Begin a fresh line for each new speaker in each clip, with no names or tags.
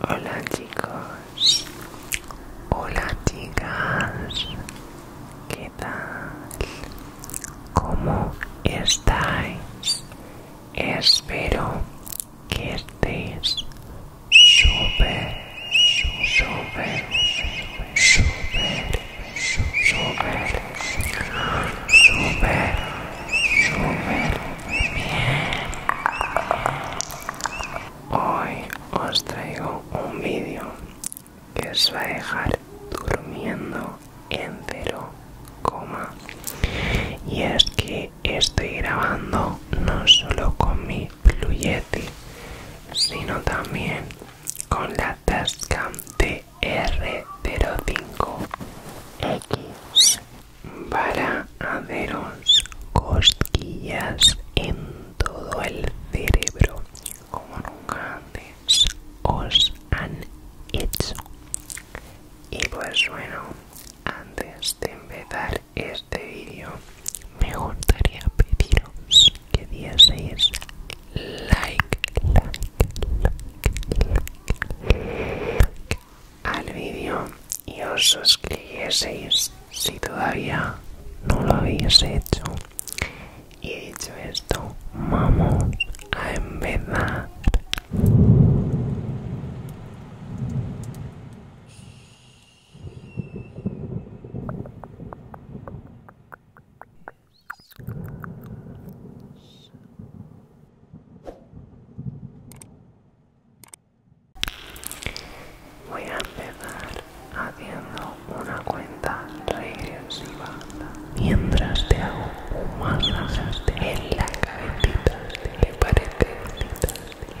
Hola chicos, hola chicas, ¿qué tal? ¿Cómo estáis? Espero que estéis súper, súper, súper, súper, súper, súper bien. Hoy os traigo un vídeo que os va a dejar durmiendo en cero coma. Y es que estoy grabando no solo con mi Blue sino también con la Tascam TR05X para haceros cosquillas en todo el cerebro como nunca antes os han hecho y pues bueno antes de empezar este vídeo me gustaría pediros que dieseis like like like, like, like al vídeo y os suscribieseis si todavía no lo habéis hecho. Y dicho esto, vamos a empezar. Voy a empezar haciendo una cuenta regresiva mientras te hago un masaje en la cabecita. ¿Te parece? a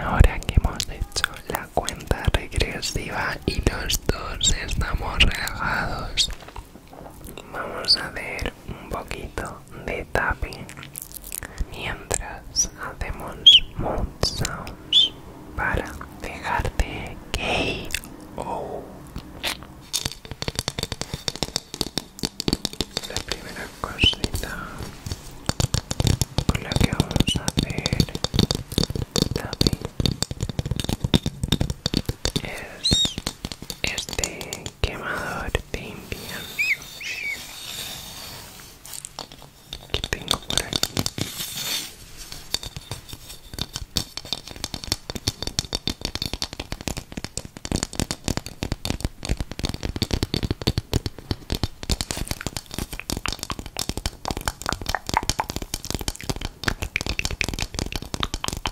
Ahora que hemos hecho la cuenta regresiva y los dos estamos relajados, vamos a ver un poquito de tapping mientras hacemos mood sounds para dejarte gay la primera cosita con la que vamos a hacer tapping es este quemador de invierno que tengo por aquí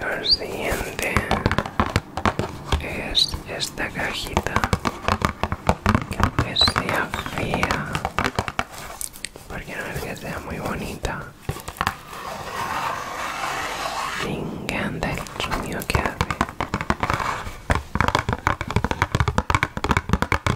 Lo siguiente es esta cajita que aunque sea fría porque no es que sea muy bonita, me el que hace.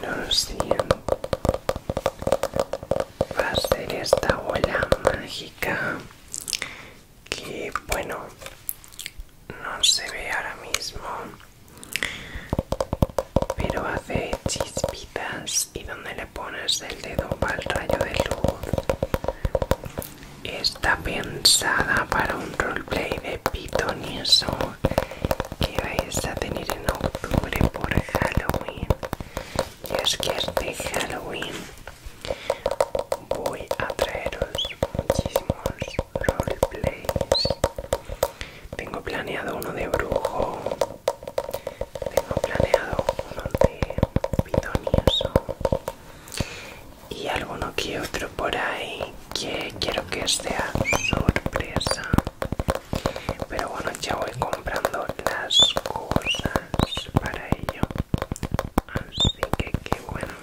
Lo siento va a ser esta bola mágica que bueno no se ve ahora mismo pero hace chispitas y donde le pones el dedo para el rayo de luz está pensada para un roleplay de Python y eso que vais a tener en octubre por Halloween y es que este Halloween voy a traeros muchísimos roleplays tengo planeado uno de brujo tengo planeado uno de y alguno que otro por ahí que quiero que sea sorpresa pero bueno ya voy comprando las cosas para ello así que qué bueno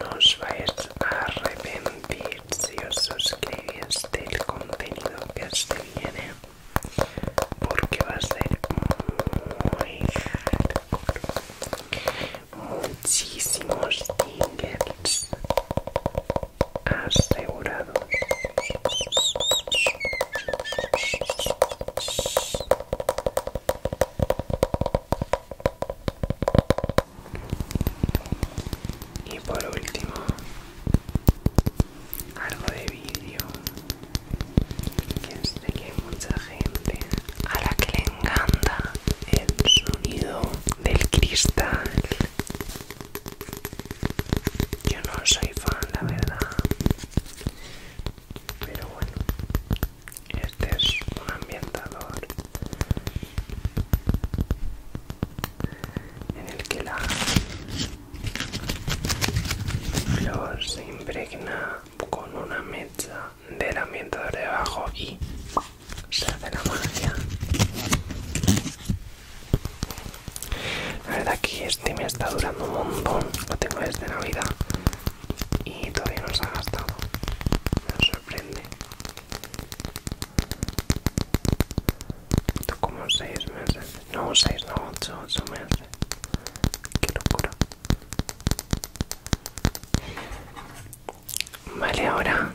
nos vais a arrepentir si os suscribís del contenido que se viene porque va a ser muy hardcore muchísimos tickets asegurados y por último algo de vídeo que es de que mucha gente a la que encanta el sonido del cristal. Yo no soy fan, la verdad. Pero bueno, este es un ambientador en el que la flor se impregna con una mecha del ambientador debajo y se hace la magia la verdad que este me está durando un montón lo tengo desde navidad y todavía no se ha gastado me sorprende esto como 6 meses no 6 no 8 8 meses qué locura Vale, ahora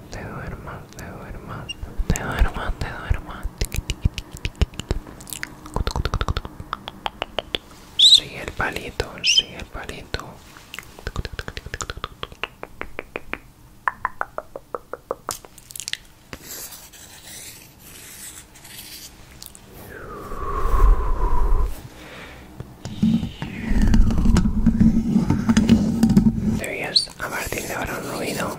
te duermas, te duermas, te duermas, te duermas. Sí el palito, sigue el palito. está, a partir de ahora un ruido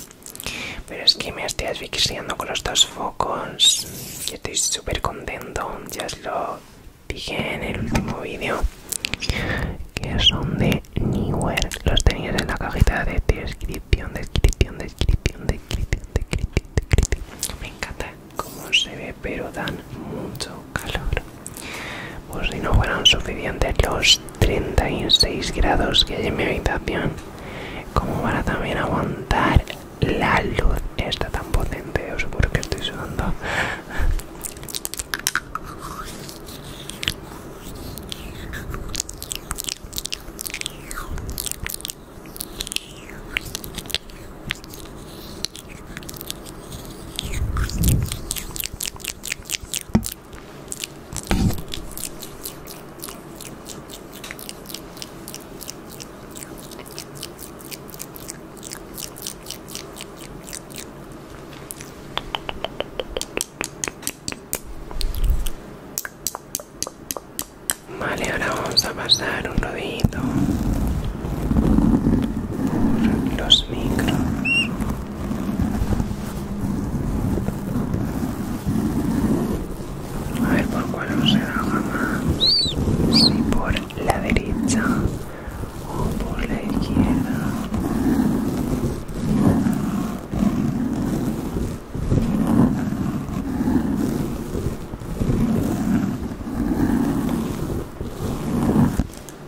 pero es que me estoy asfixiando con los dos focos. estoy súper contento. Ya os lo dije en el último vídeo. Que son de Newer. Los tenéis en la cajita de descripción, descripción, descripción, descripción, descripción, descripción. Me encanta cómo se ve, pero dan mucho calor. Pues si no fueran suficientes los 36 grados que hay en mi habitación, como para también aguantar la luz Está tan potente, os porque estoy sudando. Vale, ahora vamos a pasar un rodito por los micros. A ver por cuál se da más. Si por la derecha o por la izquierda.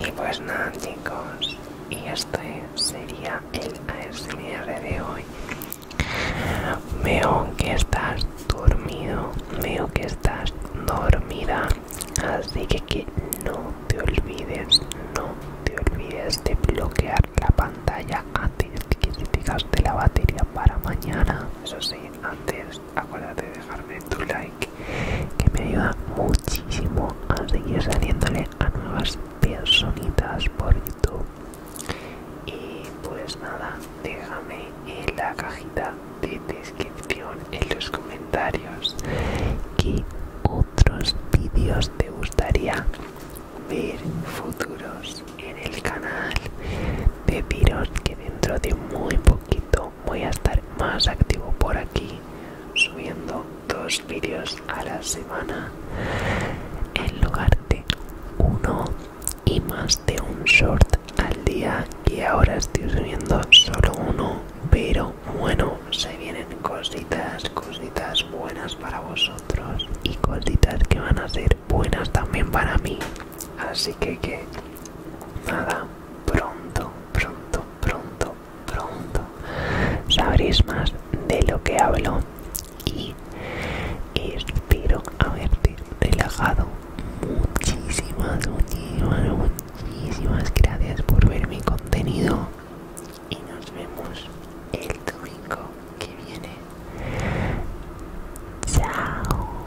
Y pues nada chicos, y este sería el ASMR de hoy. Veo que estás dormido, veo que estás dormida, así que que no te olvides, no te olvides de bloquear la pantalla antes que te de la batería para mañana. Eso sí, antes acuérdate de dejarme tu like, que me ayuda muchísimo a seguir saliéndole a nuevas personitas por YouTube. Y pues nada, déjame en la cajita de descripción en los comentarios comentarios qué otros vídeos te gustaría ver futuros en el canal deciros que dentro de muy poquito voy a estar más activo por aquí subiendo dos vídeos a la semana en lugar de uno y más de un short al día y ahora estoy subiendo solo uno pero bueno, se vienen cositas, cositas buenas para vosotros y cositas que van a ser buenas también para mí. Así que que nada, pronto, pronto, pronto, pronto sabréis más de lo que hablo y espero haberte relajado muchísimas, muchísimas, muchísimas gracias por ver mi contenido y nos vemos el domingo que viene. Chao.